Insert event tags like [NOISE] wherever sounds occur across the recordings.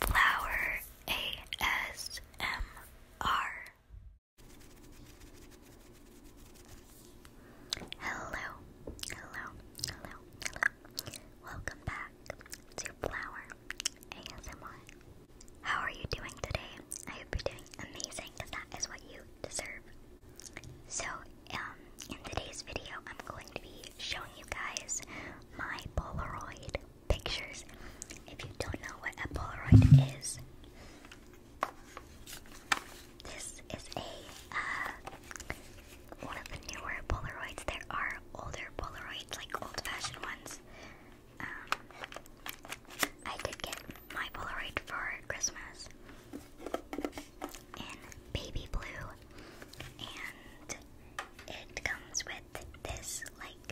Flower ASMR. Hello, hello, hello, hello. Welcome back to Flower ASMR. How are you doing today? I hope you're doing amazing because that is what you deserve. So, um, in today's video, I'm going to be showing you guys my Polaroid pictures. If you don't know what a Polaroid is, this is a uh, one of the newer Polaroids. There are older Polaroids, like old-fashioned ones. Um, I did get my Polaroid for Christmas in baby blue, and it comes with with this like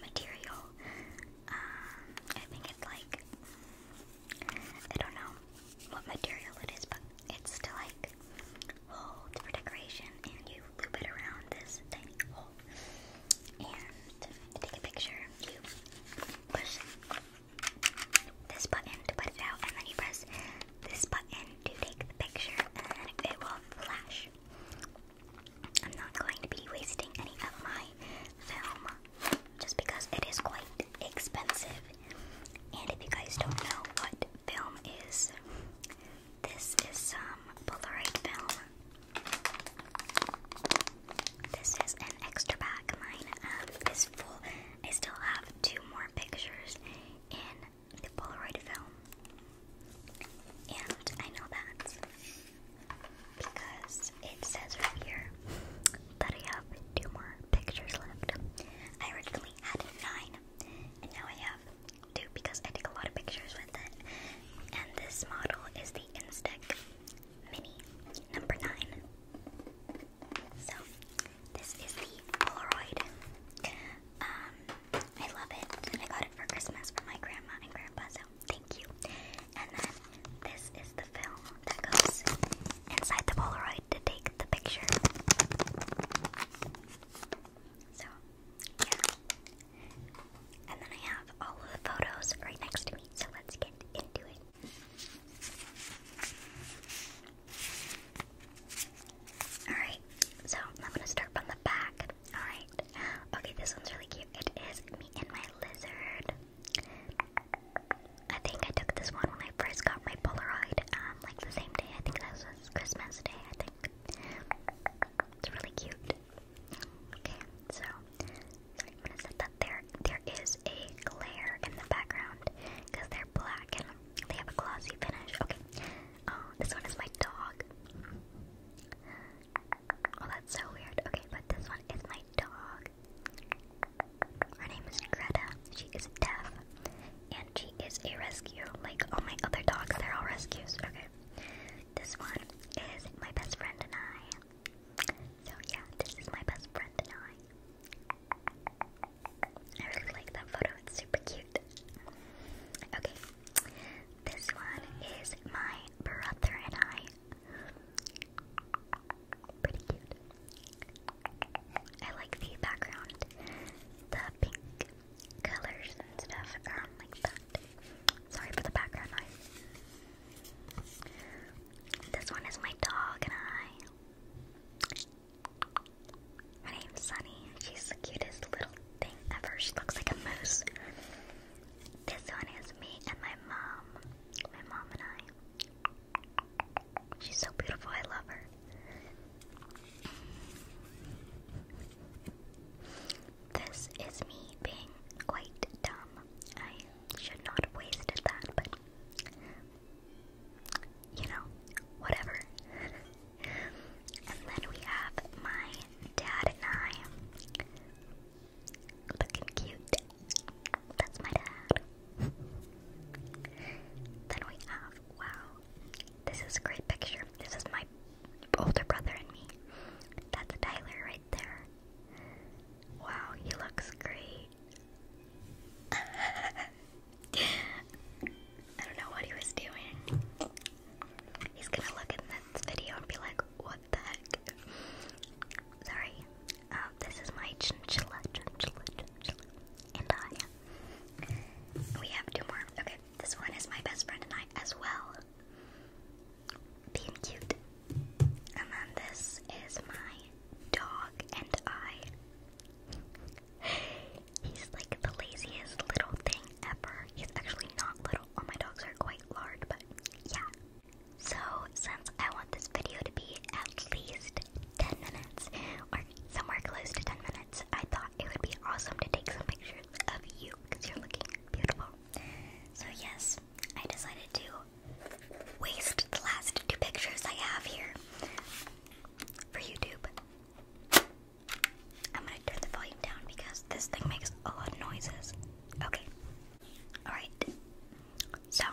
material. Um, I think it's like I don't know what material it is, but it's to like hold for decoration, and you loop it around this tiny hole and take a picture. You push this button to put it out, and then you press this button to take the picture, and then it will flash. I'm not going to be wasting any of my film just because it is quite expensive. And if you guys don't know what film is, this is some Polaroid film. This is an extra pack. Mine um, is full. I still have two more pictures in the Polaroid film. And I know that because it says right here that I have two more pictures left. I originally had nine, and now I have two because I took a lot of pictures with it. And this model is the Instax Mini number nine. So this is the Polaroid. Um, I love it. I got it for Christmas for my grandma and grandpa, so thank you. And then this is the film that goes inside the Polaroid to take the picture. So, yeah. And then I have all of the photos right next to me, so let's get into it. Alright, so I'm gonna start from the back. Alright. Okay, this one's really cute. It is me and my lizard. I think I took this one when I first got my Polaroid, um, like the same day. I think that was Christmas Day, I think. It's really cute. Okay, so I'm gonna set that there there is a glare in the background because they're black and they have a glossy finish. Okay. Um, this one is my dog. Oh, that's so weird. Okay, but this one is my dog. Her name is Greta. She is deaf, and she is a rescue. Like all my other dogs, they're all rescues. Okay. This one is my best friend and I. So yeah, this is my best friend and I. I really like that photo, it's super cute. Okay, this one is my brother and I. Pretty cute. I like the background, the pink colors and stuff around like that. Sorry for the background noise. This one is my dog and I. Her name's Sunny, she's the cutest little thing ever. She looks like a moose. This one is me and my mom. My mom and I. She's so beautiful, I love her. This is me being quite dumb. I should not waste that, but you know, whatever. and then we have my dad and I. Looking cute. That's my dad. then we have, wow, this is a great picture. This is my older brother and me. That's Tyler right there. Wow, he looks great. I don't know what he was doing. He's gonna look at this video and be like, what the heck? Sorry. Um, this is my chinchilla, chinchilla, chinchilla, and I. We have two more. Okay, this one is my best friend and I as well. Being cute. And then this is my dog and I. He's like the laziest little thing ever. He's actually not little. All my dogs are quite large, but yeah. So, since I want this video to be at least 10 minutes, or somewhere close to 10 minutes, I thought it would be awesome to take some pictures of you because you're looking beautiful. So, yes, I decided to waste the last two pictures I have here for YouTube. I'm gonna turn the volume down because this thing makes a lot of noises. Okay. Alright. So,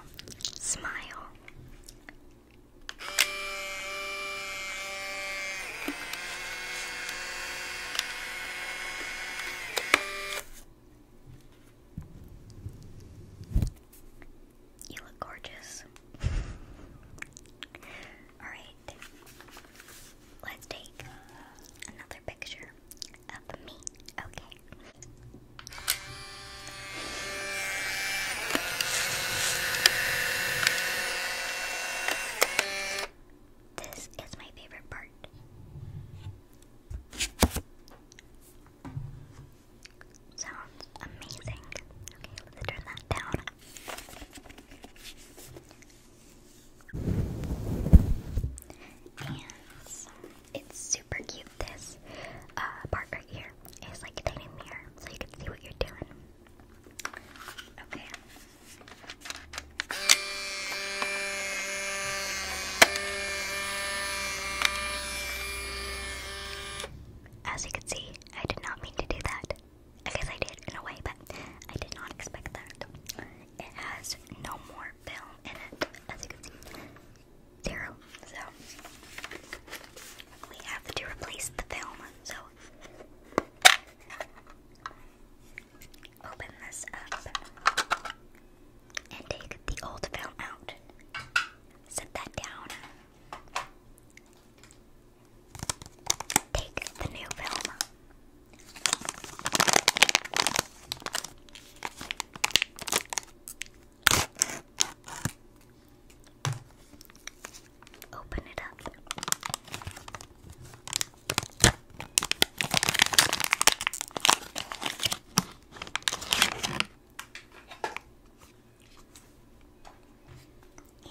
smile. You look gorgeous. Alright, let's take another picture of me, okay? This is my favorite part. Sounds amazing. Okay, let's turn that down. And it's super cute. This uh, part right here is like a tiny mirror, so you can see what you're doing. Okay. As you can see, I did not mean to do that. I guess I did in a way, but I did not expect that. It has no more film in it, as you can see. Zero. So, we have to replace the film. So, open this up and take the old film out. Set that down. Take the new film. Open it up.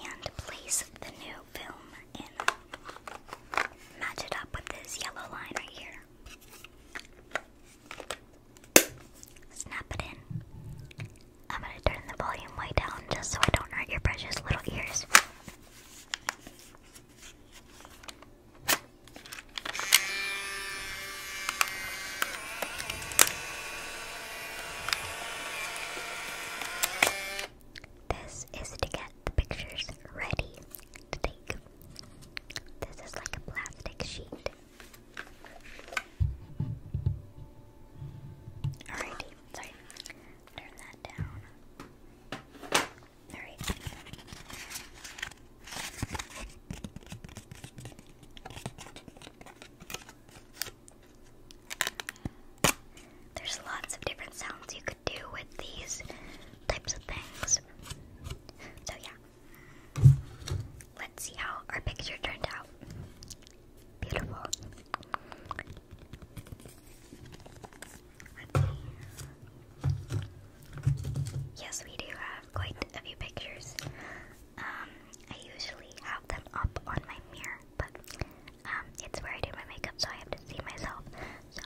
And place the new film in. Match it up with this yellow line right here. Snap it in. I'm gonna turn the volume way down just so I don't hurt your precious little ears. This is to get the pictures ready to take. This is like a plastic sheet. Alrighty, sorry. Turn that down. Alright. There's lots of different sounds you could do with these types of things. So, yeah. Let's see how our picture turned out. Beautiful. Yes, we do have quite a few pictures. Um, I usually have them up on my mirror, but um, it's where I do my makeup, so I have to see myself. So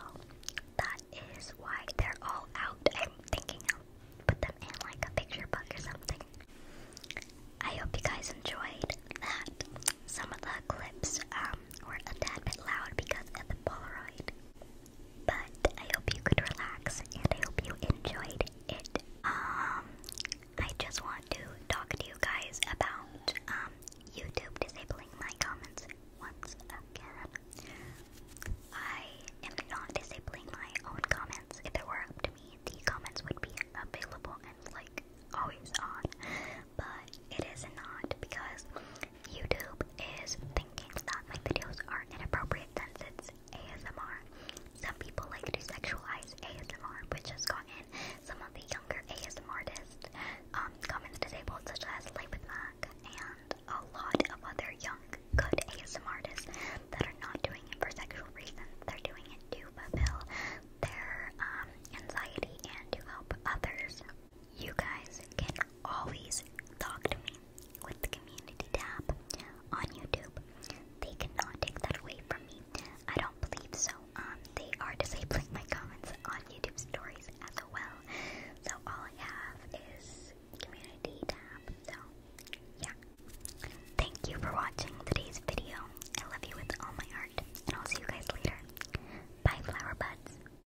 that is why they're all out. I'm thinking of put them in like a picture book or something. I hope you guys enjoyed that. Some of the clips um, were a tad bit loud because of the Polaroid. But I hope you could relax and I hope you enjoyed it. Um, I just want to talk to you guys about um, YouTube disabling my comments once again. I am not disabling my own comments. If it were up to me, the comments would be available and like always on. But it is not because YouTube is thinking that my videos are inappropriate since it's ASMR. Some people like to sexualize ASMR, which has gotten some of the younger ASMR artists um, comments disabled, such as Lay and a lot of other young, good ASMR artists that are not doing it for sexual reasons. They're doing it to fulfill their um, anxiety and to help others you guys can always talk to me with the community tab on YouTube. They cannot take that away from me. I don't believe so. Um, they are [LAUGHS] disabling my comments on YouTube stories as well. So all I have is community tab. So yeah. Thank you for watching today's video. I love you with all my heart, and I'll see you guys later. Bye, flower buds.